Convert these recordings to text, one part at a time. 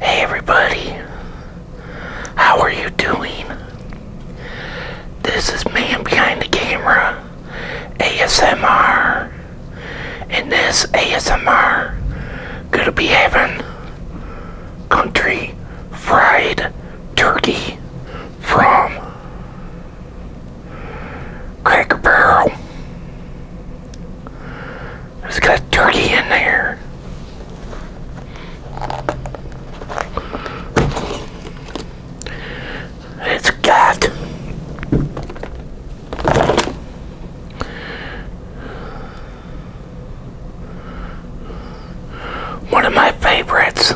Hey everybody, how are you doing? This is Man Behind the Camera ASMR. and this ASMR, gonna be having country fried turkey from Cracker Barrel. It's got turkey in there. It's got one of my favorites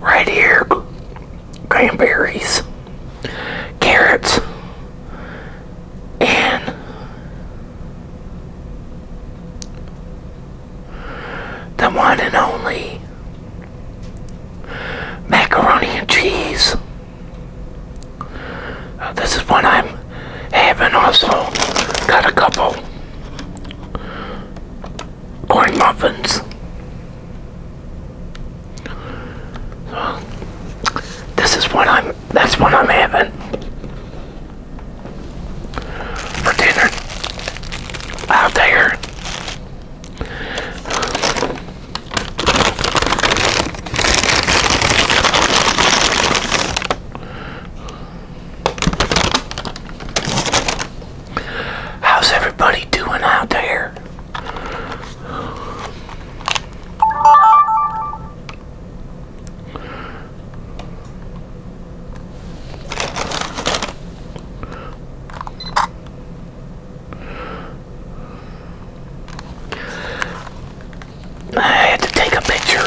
right here cranberries, carrots. And the one and only macaroni and cheese. Uh, this is one I'm having also. Got a couple corn muffins. this is what I'm that's what I'm having for dinner out there. How's everybody doing out there? I had to take a picture.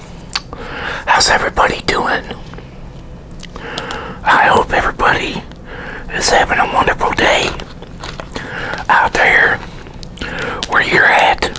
How's everybody doing? I hope everybody is having a wonderful day out there where you're at.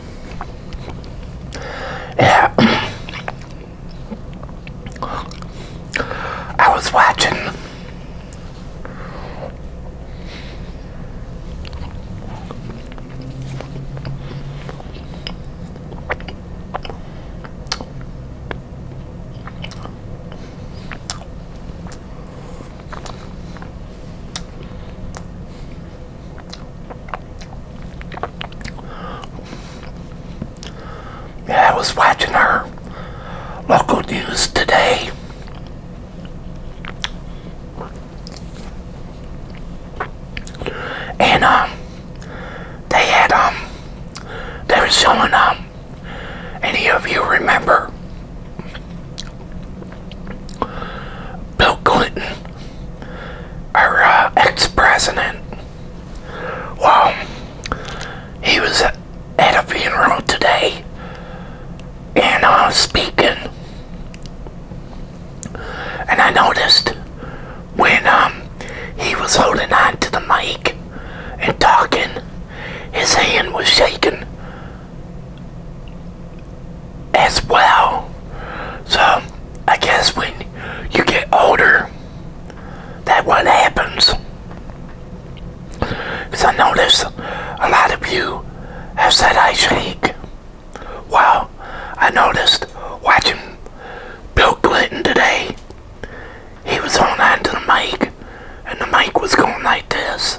Yeah. I was watching yeah, I was watching her local news today. And um they had um they were showing um any of you remember Bill Clinton, our uh, ex-president. Well, he was at a funeral today and I uh, was speaking, and I noticed when um, he was holding on to the mic and talking, his hand was shaking as well. So I guess when you get older, that what happens. Because I noticed a lot of you have said I shake. Well, I noticed watching Bill Clinton today. He was holding onto the mic, and the mic was going like this.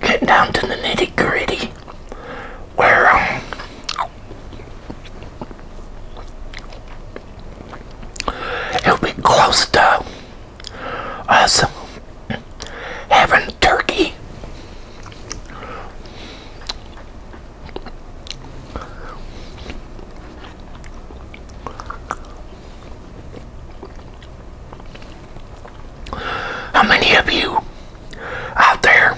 Get down to the nitty gritty, where um, it'll be close us having turkey. How many of you out there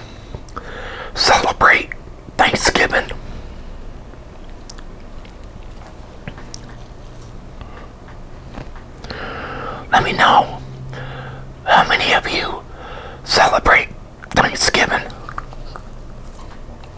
celebrate Thanksgiving? Let me know how many of you celebrate Thanksgiving.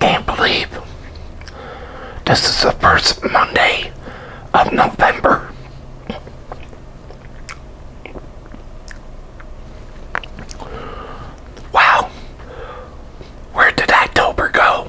Can't believe this is the first Monday of November. Wow, where did October go?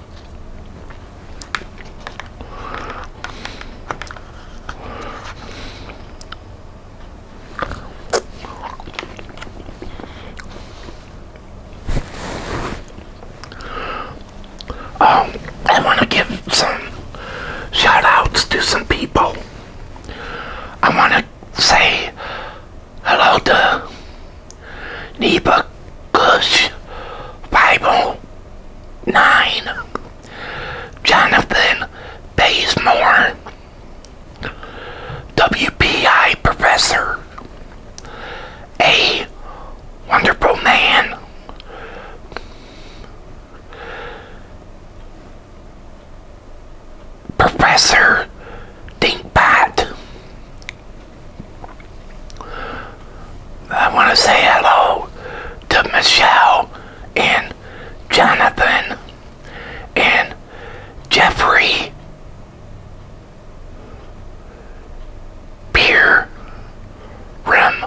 Um, I want to give some shoutouts to some people. I want to say Hello to Neba Kush 509 Jonathan Baysmore WPI Professor A Wonderful Man Professor Dinkbot I want to say hello to Michelle and Jonathan and Jeffrey Pierre Rim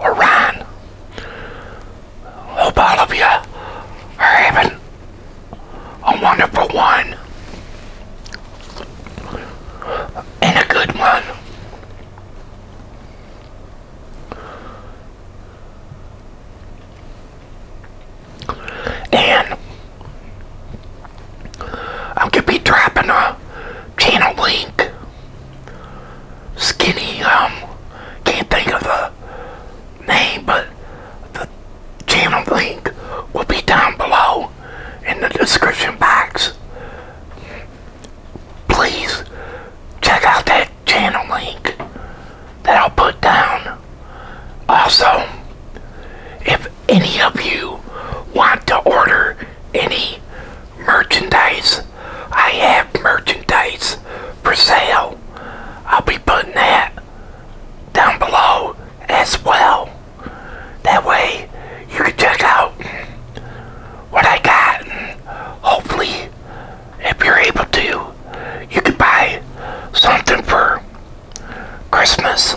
or Hope all of you are having a wonderful one and a good one. And I'm gonna be dropping a channel link. Skinny, um, can't think of the name, but the channel link will be down below in the description box. Please check out that channel link that I'll put down. Also, if any of you want to order any merchandise, I have merchandise for sale. I'll be putting that down below as well. That way you can check out what I got and hopefully if you're able to you can buy something for Christmas.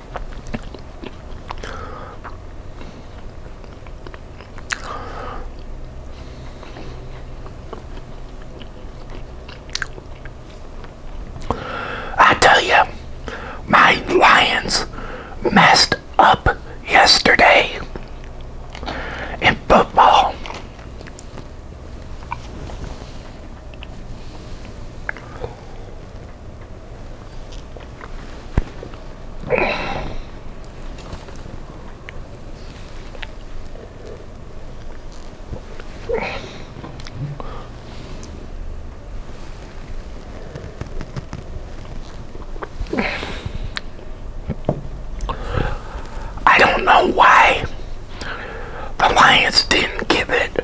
I tell you, my Lions messed up yesterday in football. I don't know why the Lions didn't give it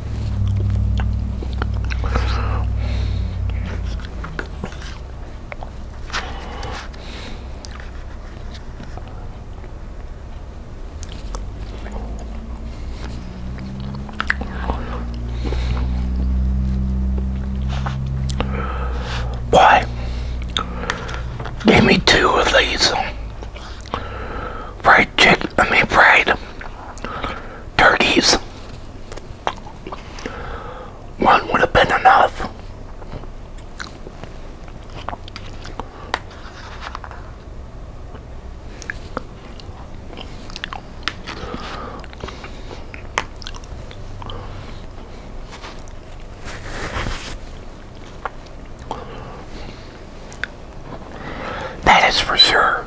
Why? Give me two of these fried chicken, I mean fried turkeys. One would have been enough. That is for sure.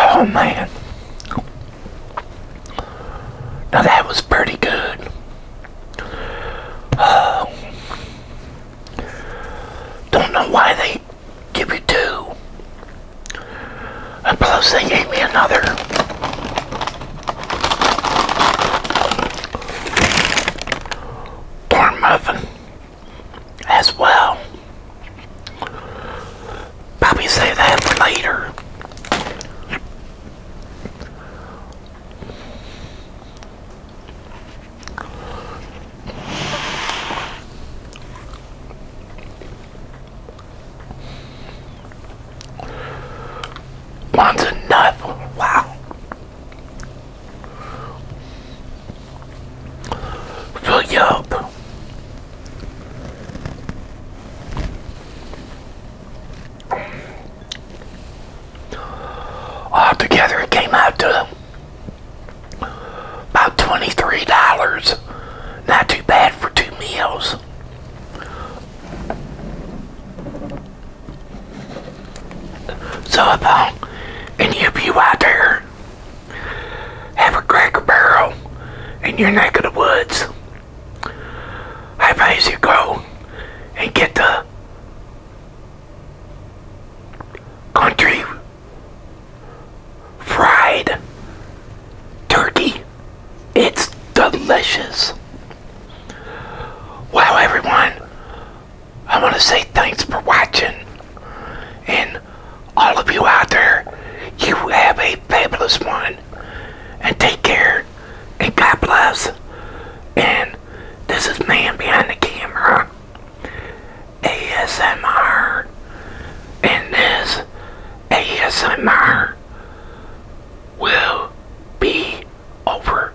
Oh man. Now that was pretty good. don't know why they give you two. And plus they gave me another. Corn muffin as well. Probably save that for later. One's enough. Wow. Fuck you up. together, it came out to about $23. Not too bad for two meals. So if um, any of you out there have a cracker barrel in your neck of the woods, I advise you go and get the country fried turkey. It's delicious. Wow, everyone. I want to say thanks for watching. And all of you out there, you have a fabulous one. And take care. And God bless. And this is Man Behind the Camera. ASMR. And this ASMR will be over.